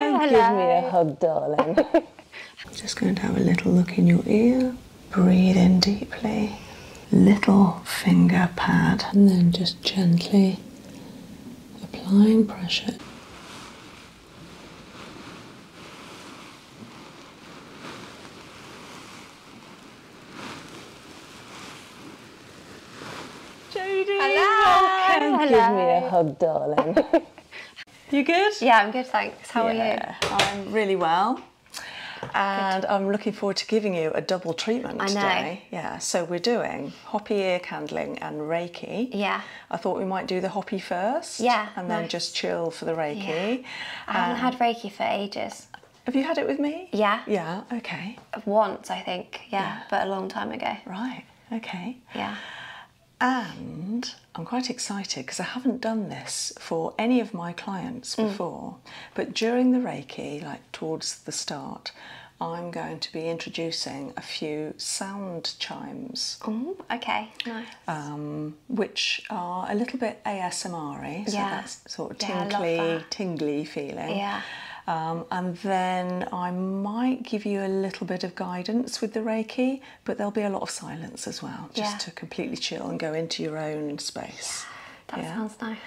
Hello. Give me a hug, darling. just going to have a little look in your ear. Breathe in deeply. Little finger pad. And then just gently applying pressure. Jodie! Hello. Give me a hug, darling. you good? Yeah, I'm good, thanks. How are you? I'm really well. And I'm looking forward to giving you a double treatment today. Yeah, so we're doing hoppy ear candling and Reiki. Yeah. I thought we might do the hoppy first. Yeah. And then just chill for the Reiki. I haven't had um, Reiki for ages. Have you had it with me? Yeah. Yeah, okay. Once, I think, yeah. but a long time ago. Right, okay. Yeah. And I'm quite excited because I haven't done this for any of my clients mm. before, but during the Reiki, like towards the start, I'm going to be introducing a few sound chimes. Oh, okay, nice. Um, which are a little bit ASMR so yeah. that's sort of tinkly, tingly feeling. Yeah. Um, and then I might give you a little bit guidance with the Reiki, but there'll be a lot of silence as well, just to completely chill and go into your own space. That sounds nice.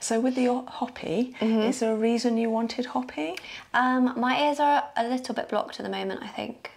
So with the hoppy, mm-hmm. is there a reason you wanted hoppy? Um, my ears are a little bit blocked at the moment. I think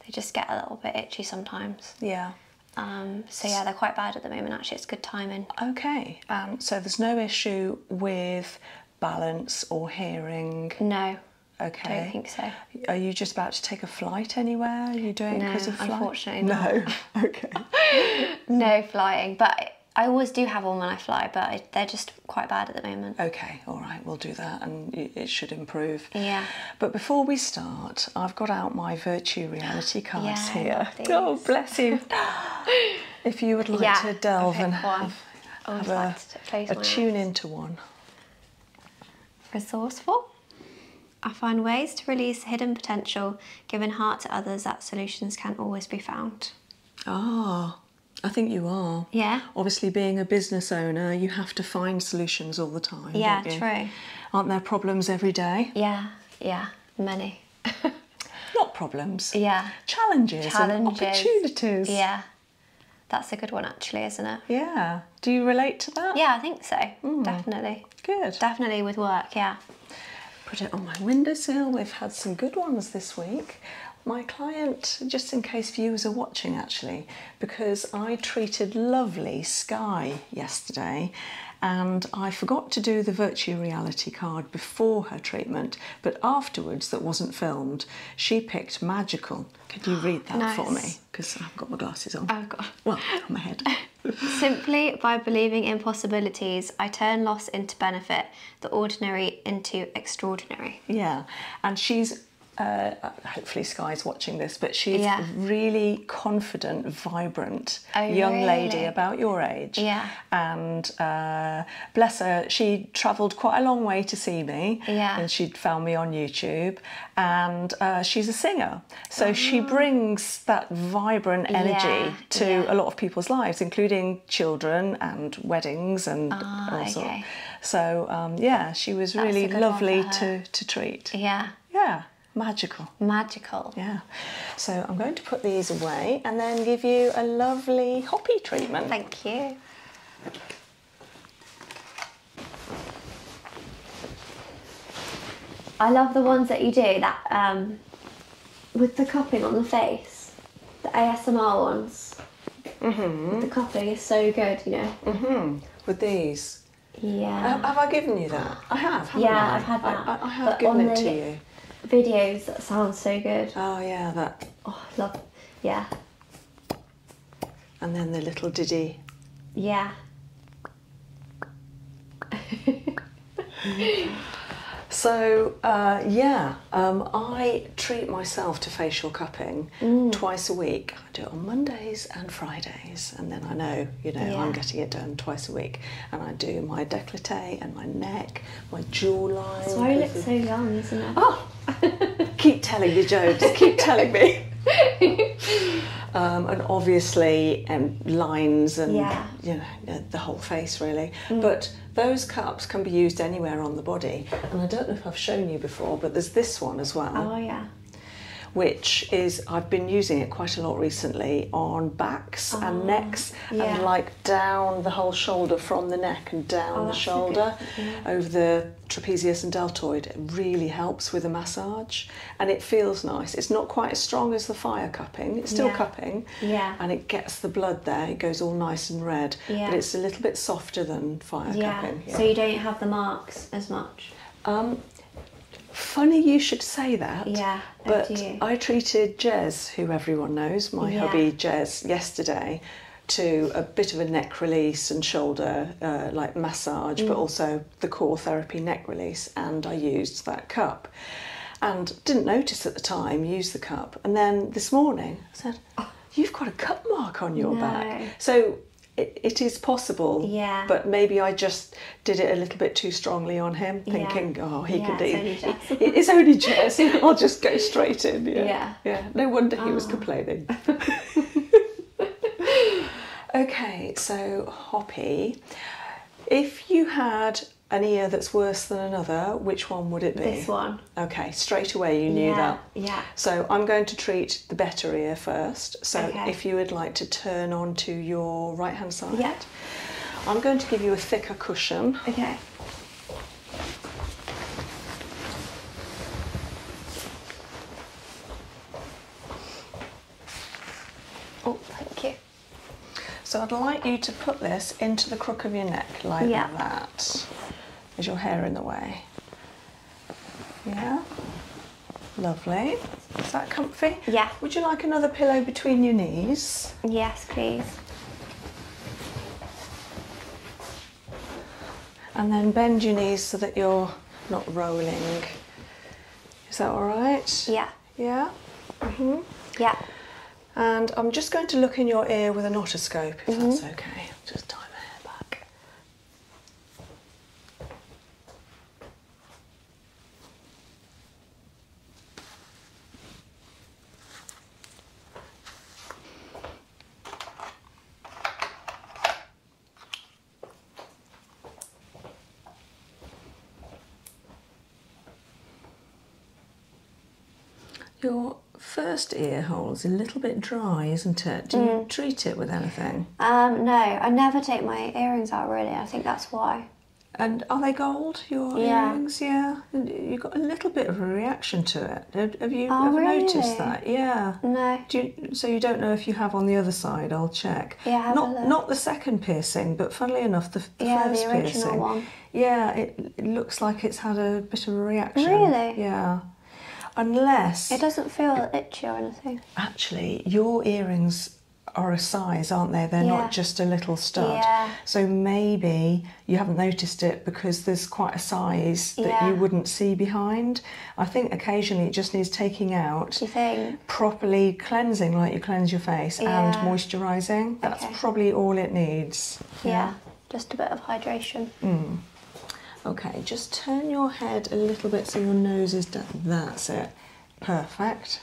they just get a little bit itchy sometimes. Yeah. Um, so yeah, they're quite bad at the moment. Actually, it's good timing. Okay. Um, so there's no issue with balance or hearing. No. Okay. I think so. Are you just about to take a flight anywhere? Are you doing no, because of flight? unfortunately No. okay. no flying, but I always do have one when I fly, but they're just quite bad at the moment. Okay, all right, we'll do that, and it should improve. Yeah. But before we start, I've got out my virtue reality cards here. Oh, bless you. if you would like to delve and have I have a tune into one. Resourceful. I find ways to release hidden potential, giving heart to others that solutions can always be found. Ah, I think you are. Yeah. Obviously, being a business owner, you have to find solutions all the time. Yeah, true. Aren't there problems every day? Yeah, yeah, many. Not problems. Yeah. Challenges, challenges. and opportunities. Yeah that's a good one actually, isn't it? Yeah. Do you relate to that? Yeah, I think so. Hmm. Definitely. Good. Definitely with work, yeah. Put it on my windowsill. We've had some good ones this week. My client, just in case viewers are watching actually, because I treated lovely Sky yesterday and I forgot to do the virtual reality card before her treatment but afterwards, that wasn't filmed, she picked Magical. Could you read that for me? Because I've got my glasses on. I've Well, on my head. Simply by believing in possibilities, I turn loss into benefit, the ordinary into extraordinary. Yeah, and she's uh, hopefully Sky's watching this, but she's yeah. really confident, vibrant oh, young lady about your age. Yeah. And uh, bless her, she travelled quite a long way to see me. And she found me on YouTube. And uh, she's a singer. So she ah. brings that vibrant energy to a lot of people's lives, including children and weddings and ah, all sorts. So, um, yeah, she was really lovely to, to treat. Yeah. Yeah. Magical. Magical. Yeah. So I'm going to put these away and then give you a lovely hoppy treatment. Thank you. I love the ones that you do that um, with the cupping on the face, the ASMR ones. Mm-hmm. The cupping is so good, you know. Mm-hmm. With these. Yeah. have I given you that? I have. yeah, I? have had that. I, have but given it to you. Videos that sound so good. Oh yeah, that. Oh, love. Yeah. And then the little diddy. Yeah. so, uh, yeah, um, I treat myself to facial cupping mm. twice a week. I do it on Mondays and Fridays, and then I know, you know, I'm getting it done twice a week. And I do my décolleté and my neck my jawline. That's why you look so young, isn't it? Oh, keep telling me, Joe. Just keep telling me. um, and obviously, and um, lines and you know uh, the whole face really. Mm. But those cups can be used anywhere on the body. And I don't know if I've shown you before, but there's this one as well. Oh yeah which is I've been using it quite a lot recently on backs and oh, necks and like down the whole shoulder from the neck and down oh, the shoulder mm-hmm. over the trapezius and deltoid. It really helps with a massage and it feels nice. It's not quite as strong as the fire cupping, it's still cupping yeah. and it gets the blood there, it goes all nice and red, yeah. but it's a little bit softer than fire cupping. Yeah. So you don't have the marks as much? Um, funny you should say that. Yeah. But I treated Jez, who everyone knows, my hobby Jez, yesterday to a bit of a neck release and shoulder uh, like massage, but mm. also the core therapy neck release. And I used that cup and didn't notice at the time, used the cup. And then this morning I said, oh. You've got a cup mark on your back. So it, it is possible. Yeah. But maybe I just did it a little bit too strongly on him, thinking, oh, he could." do, it is only jazz. I'll just go straight in. Yeah. Yeah. No wonder he was ah. complaining. okay, so Hoppy, if you had an ear that's worse than another, which one would it be? This one. Okay, straight away you knew that. Yeah. So I'm going to treat the better ear first. So if you would like to turn on to your right hand side. Yeah. I'm going to give you a thicker cushion. Okay. Oh, thank you. So I'd like you to put this into the crook of your neck like that. Is your hair in the way? Yeah. Lovely. Is that comfy? Yeah. Would you like another pillow between your knees? Yes, please. And then bend your knees so that you're not rolling. Is that all right? Yeah. Yeah? Mm-hmm. Yeah. And I'm just going to look in your ear with an otoscope, if that's mm-hmm. okay. Just tie my hair back. Your first ear hole is a little bit dry, isn't it? Do you mm. treat it with anything? Um, no, I never take my earrings out really. I think that's why. And are they gold, your earrings? Yeah. You got a little bit of a reaction to it. Have you oh, ever noticed that? Yeah. No. so you don't know if you have on the other side. I'll check. Yeah. not the second piercing, but funnily enough, the, the yeah, first the original piercing. One. Yeah, it, looks like it's had a bit of a reaction. Really? Yeah. Unless it doesn't feel itchy or anything. Actually, your earrings are a size, aren't they? They're not just a little stud. Yeah. So maybe you haven't noticed it because there's quite a size that you wouldn't see behind. I think occasionally it just needs taking out. Properly cleansing, like you cleanse your face, and moisturising. That's probably all it needs. Yeah. just a bit of hydration. Mm. Okay, just turn your head a little bit so your nose is down. That's it. Perfect.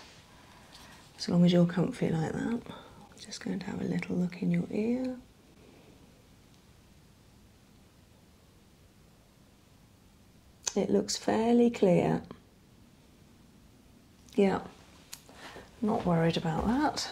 As long as you're comfy like that. Just going to have a little look in your ear. It looks fairly clear. Yeah, not worried about that.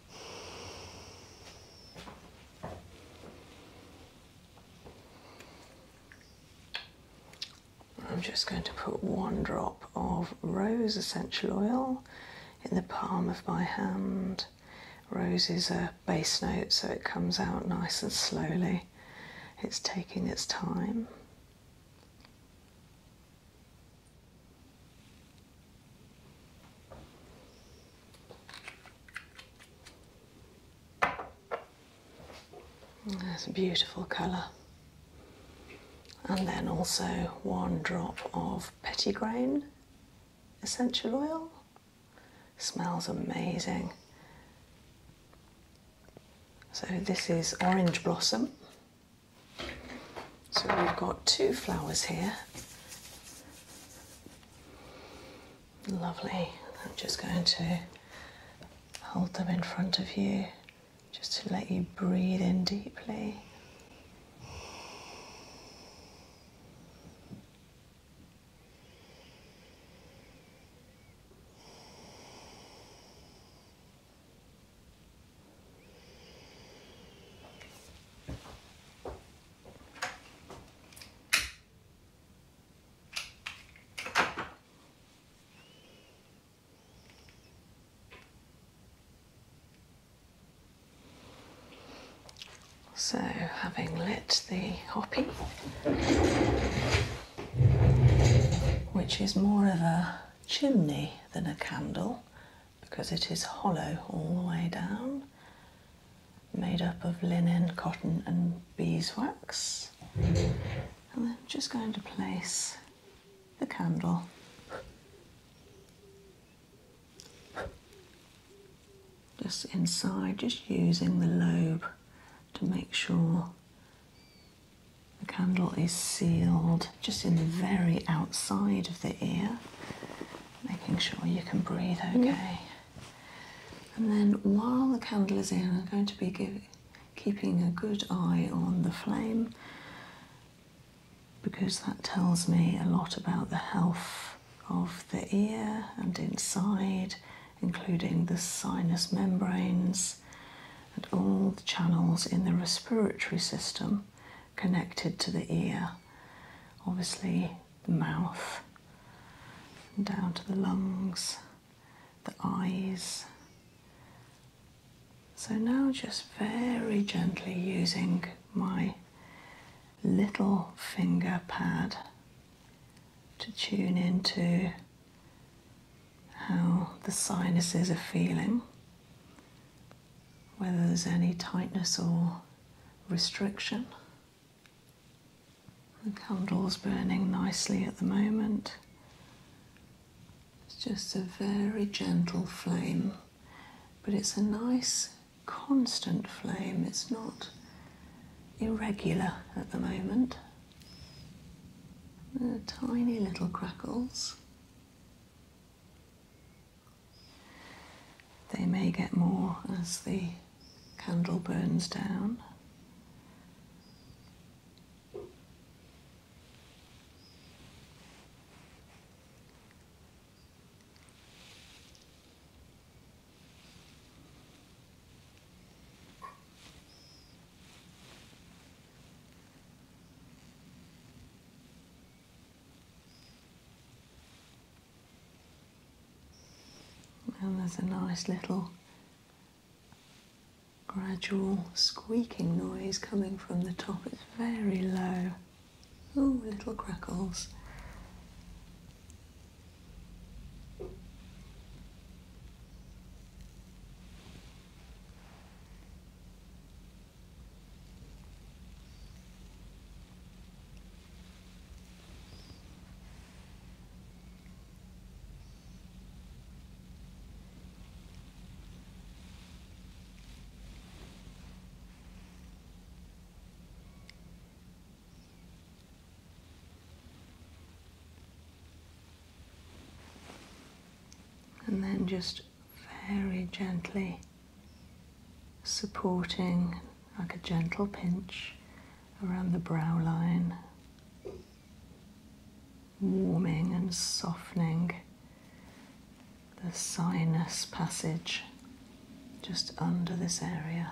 I'm just going to put one drop of rose essential oil in the palm of my hand. Rose is a bass note, so it comes out nice and slowly. It's taking its time. That's a beautiful colour. And then also one drop of pettigrain essential oil. Smells amazing. So this is orange blossom. So we've got two flowers here. Lovely. I'm just going to hold them in front of you just to let you breathe in deeply. So, having lit the hoppy, which is more of a chimney than a candle because it is hollow all the way down, made up of linen, cotton, and beeswax. And I'm just going to place the candle just inside, just using the lobe to make sure the candle is sealed just in the very outside of the ear making sure you can breathe mm. okay. And then while the candle is in, I'm going to be keeping a good eye on the flame because that tells me a lot about the health of the ear and inside, including the sinus membranes and all the channels in the respiratory system connected to the ear. Obviously, the mouth, down to the lungs, the eyes. So now just very gently using my little finger pad to tune into how the sinuses are feeling, whether there's any tightness or restriction. The candle's burning nicely at the moment. It's just a very gentle flame, but it's a nice constant flame. It's not irregular at the moment. tiny little crackles. They may get more as the candle burns down. And there's a nice little gradual squeaking noise coming from the top. It's very low. Oh, little crackles and then just very gently supporting like a gentle pinch around the brow line, warming and softening the sinus passage just under this area.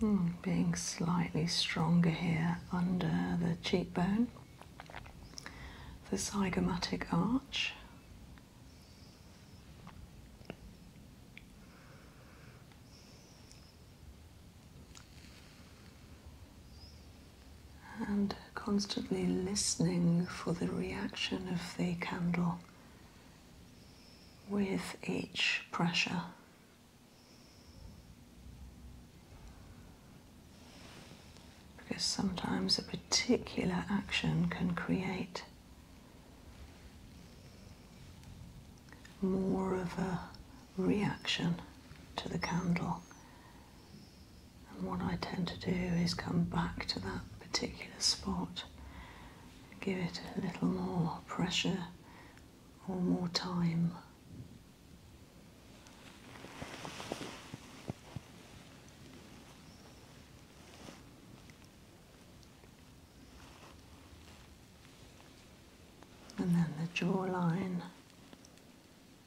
Hmm, being slightly stronger here under the cheekbone, the zygomatic arch and constantly listening for the reaction of the candle with each pressure. Because sometimes a particular action can create more of a reaction to the candle and what I tend to do is come back to that particular spot, give it a little more pressure or more time. And then the jawline.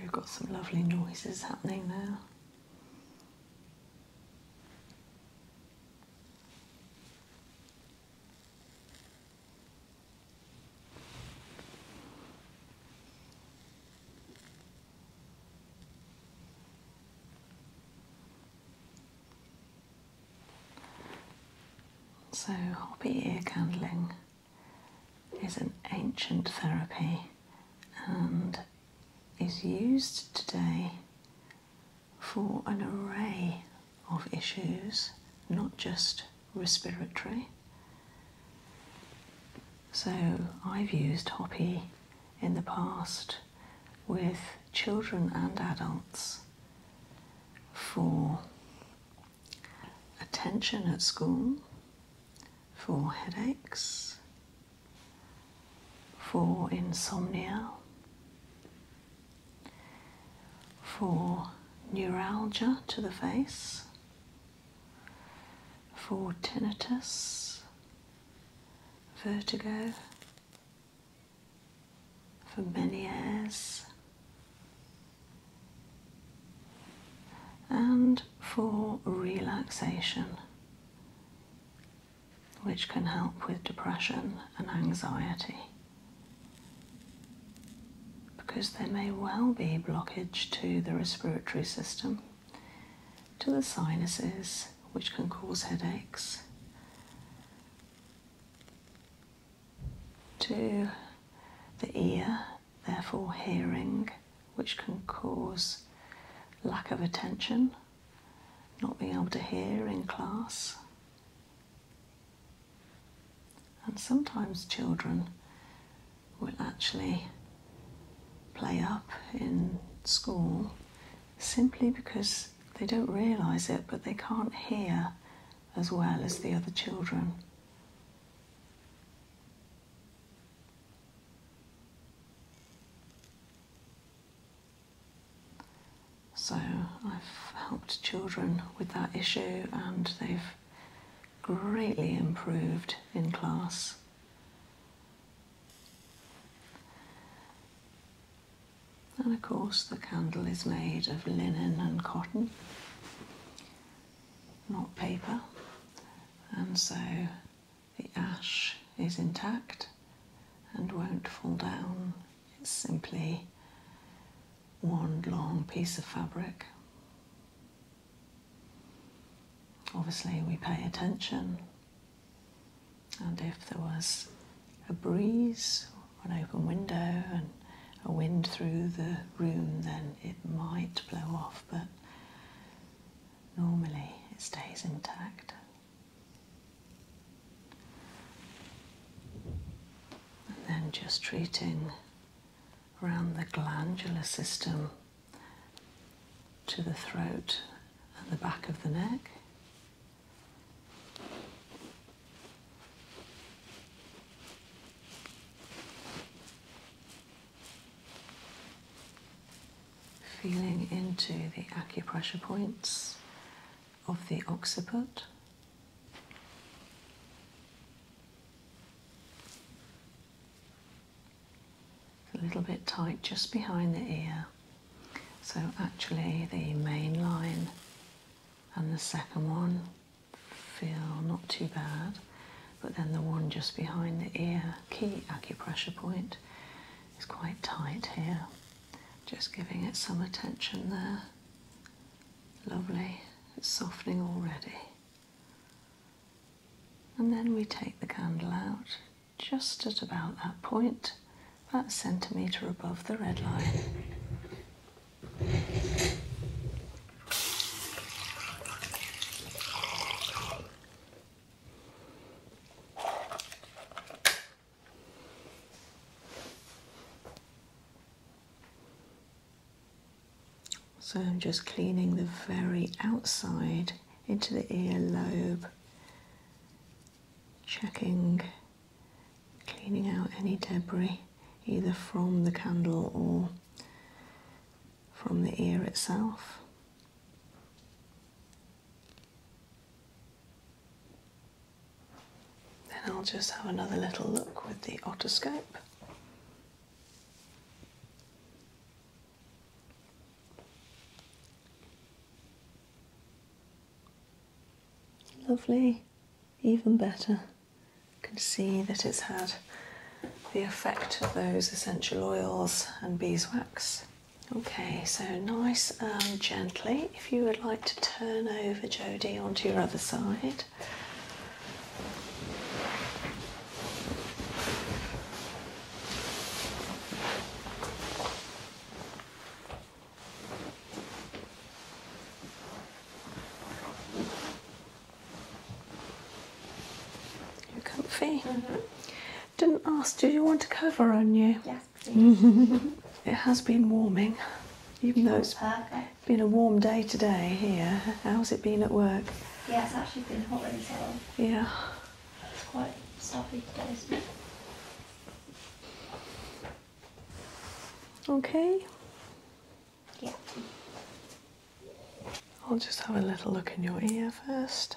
We've got some lovely noises happening now. So, hobby ear candling is an ancient therapy and is used today for an array of issues, not just respiratory. So I've used Hopi in the past with children and adults for attention at school, for headaches, for insomnia, for neuralgia to the face, for tinnitus, vertigo, for Meniere's, and for relaxation which can help with depression and anxiety because there may well be blockage to the respiratory system, to the sinuses, which can cause headaches, to the ear, therefore hearing, which can cause lack of attention, not being able to hear in class. And sometimes children will actually play up in school simply because they don't realise it but they can't hear as well as the other children. So I've helped children with that issue and they've greatly improved in class. And of course, the candle is made of linen and cotton, not paper, and so the ash is intact and won't fall down it's simply one long piece of fabric. Obviously, we pay attention, and if there was a breeze, an open window, and a wind through the room, then it might blow off, but normally it stays intact. And then just treating around the glandular system to the throat and the back of the neck. Feeling into the acupressure points of the occiput. A little bit tight just behind the ear. So, actually, the main line and the second one feel not too bad, but then the one just behind the ear, key acupressure point, is quite tight here. Just giving it some attention there. Lovely, it's softening already. And then we take the candle out just at about that point, about a centimetre above the red line. So I'm just cleaning the very outside into the ear lobe, checking, cleaning out any debris either from the candle or from the ear itself. Then I'll just have another little look with the otoscope. Lovely, even better. You can see that it's had the effect of those essential oils and beeswax. Okay, so nice and gently if you would like to turn over, Jody, onto your other side. You're comfy. Mm-hmm. Didn't ask, do you want a cover on you? Yes it has been warming, even though it's been a warm day today here. How's it been at work? Yeah, it's actually been hot in so Yeah. It's quite stuffy today, Okay. Yeah. I'll just have a little look in your ear first.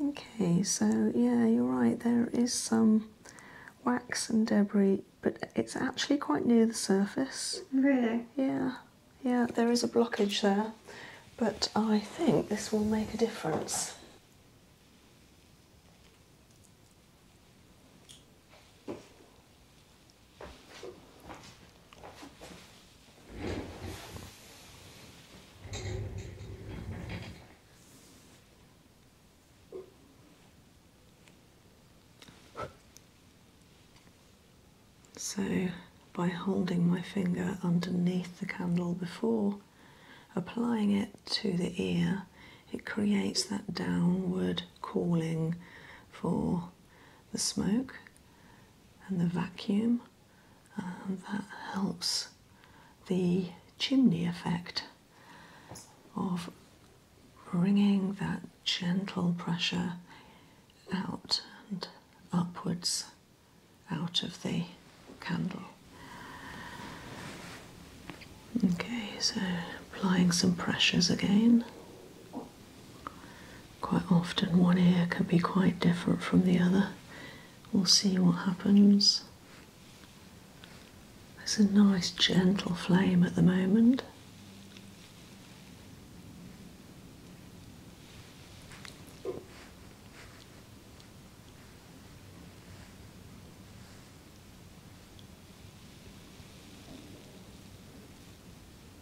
Okay, so yeah, you're right, there is some wax and debris, but it's actually quite near the surface. Really? Yeah, yeah, there is a blockage there, but I think this will make a difference. So by holding my finger underneath the candle before applying it to the ear, it creates that downward calling for the smoke and the vacuum um, that helps the chimney effect of bringing that gentle pressure out and upwards out of the candle. Okay, so applying some pressures again. Quite often, one ear can be quite different from the other. We'll see what happens. There's a nice gentle flame at the moment.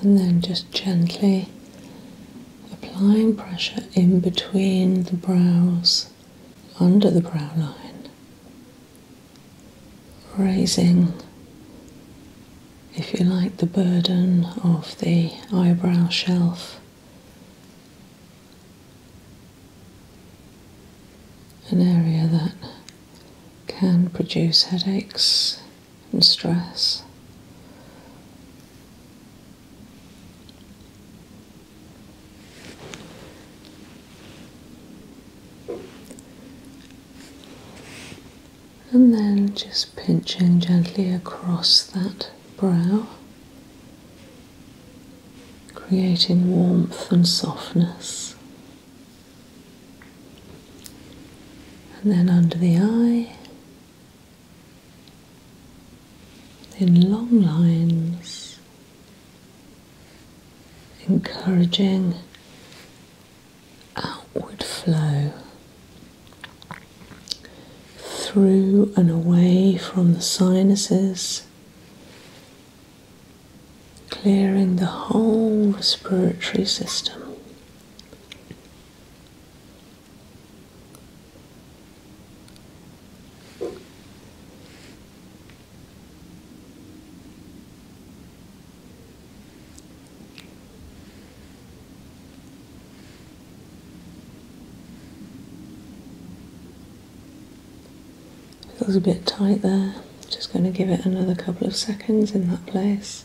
And then just gently applying pressure in between the brows, under the brow line, raising if you like, the burden of the eyebrow shelf. An area that can produce headaches and stress and then just pinching gently across that brow, creating warmth and softness. And then under the eye, in long lines, encouraging outward flow through and away from the sinuses, clearing the whole respiratory system. Feels a bit tight there. Just going to give it another couple of seconds in that place.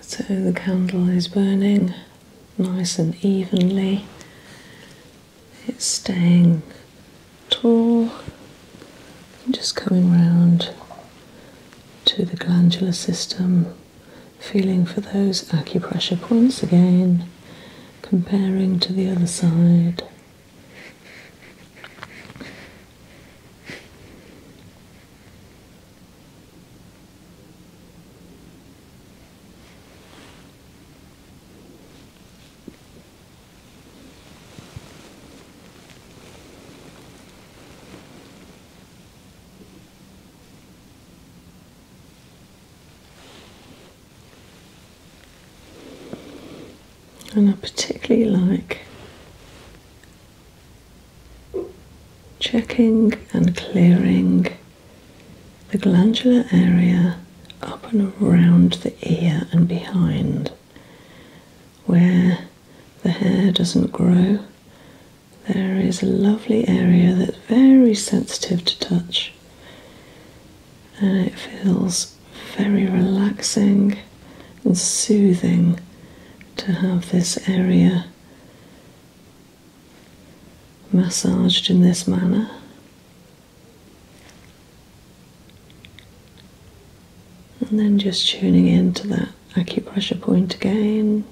So the candle is burning nice and evenly. It's staying tall just coming round to the glandular system, feeling for those acupressure points again, comparing to the other side. And I particularly like checking and clearing the glandular area up and around the ear and behind where the hair doesn't grow. There is a lovely area that's very sensitive to touch and it feels very relaxing and soothing to have this area massaged in this manner. And then just tuning in to that acupressure point again.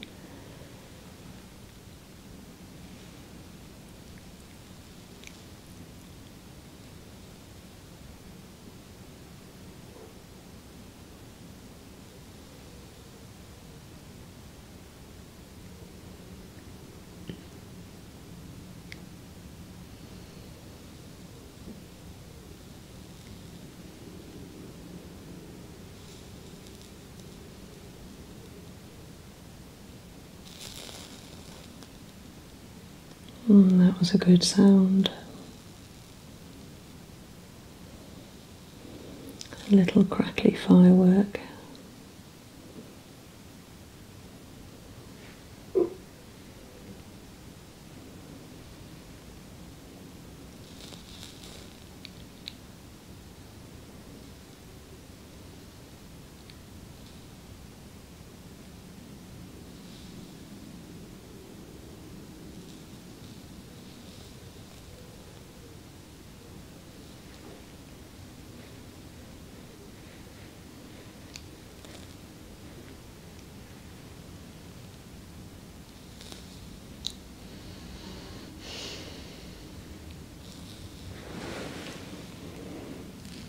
Mm, that was a good sound a little crackly firework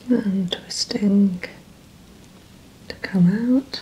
and twisting to come out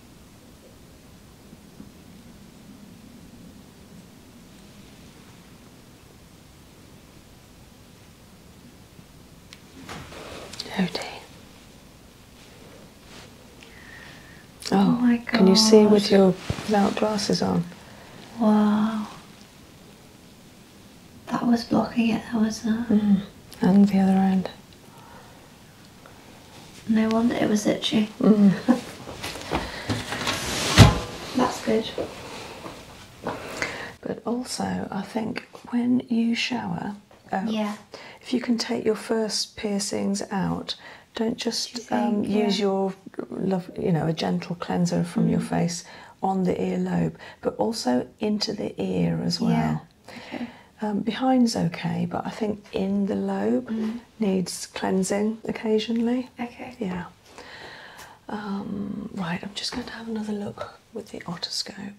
Oh dear. Oh, my god. Can you see with your without glasses on? Wow. That was blocking it, that was that. Uh, mm. And the other end. No wonder it was itchy. Mm. That's good. But also, I think when you shower, um, yeah. if you can take your first piercings out, don't just um, use your, you know, a gentle cleanser from your mm. face on the earlobe, but also into the ear as well. Um, behind's okay, but I think in the lobe, mm needs cleansing occasionally. Okay. Yeah. Um, right, I'm just going to have another look with the otoscope.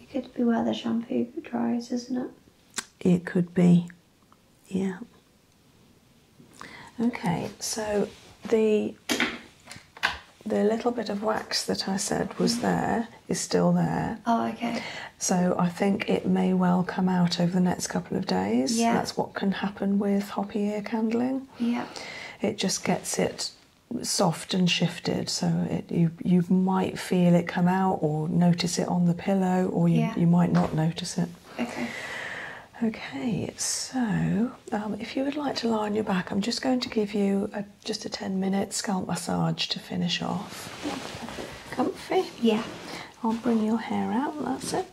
It could be where the shampoo dries, isn't it? It could be, yeah. Okay, so the the little bit of wax that I said was mm. there is still there. Oh, okay. So I think it may well come out over the next couple of days. Yeah. That's what can happen with hoppy ear candling. Yeah. It just gets it soft and shifted so you you might feel it come out or notice it on the pillow or you, you might not notice it okay okay so um, if you would like to lie on your back i'm just going to give you a just a 10 minute scalp massage to finish off. Comfy? Yeah. I'll bring your hair out, that's it.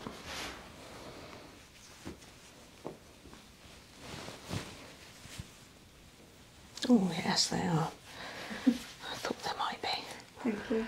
Oh, yes, they are. I thought they might be. Thank you.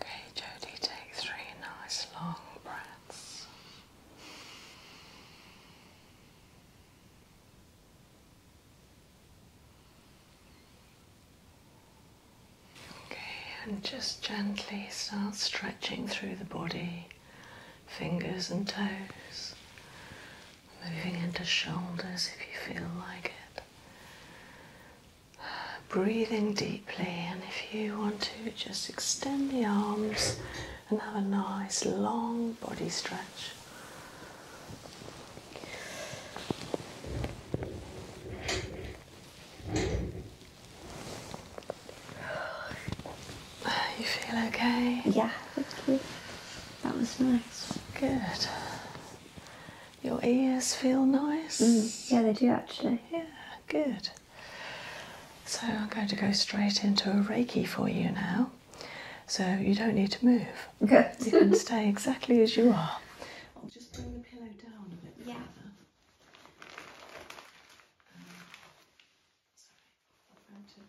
Okay, Jody, take three nice long breaths. Okay, and just gently start stretching through the body, fingers and toes, moving into shoulders if you feel like it. Breathing deeply, and if you want to, just extend the arms and have a nice long body stretch. You feel okay? Yeah, That was nice. Good. Your ears feel nice? Mm. Yeah, they do actually. Yeah, good. So I'm going to go straight into a Reiki for you now. So you don't need to move. You can stay exactly as you are. I'll just bring the pillow down a bit. Yeah. Um, sorry,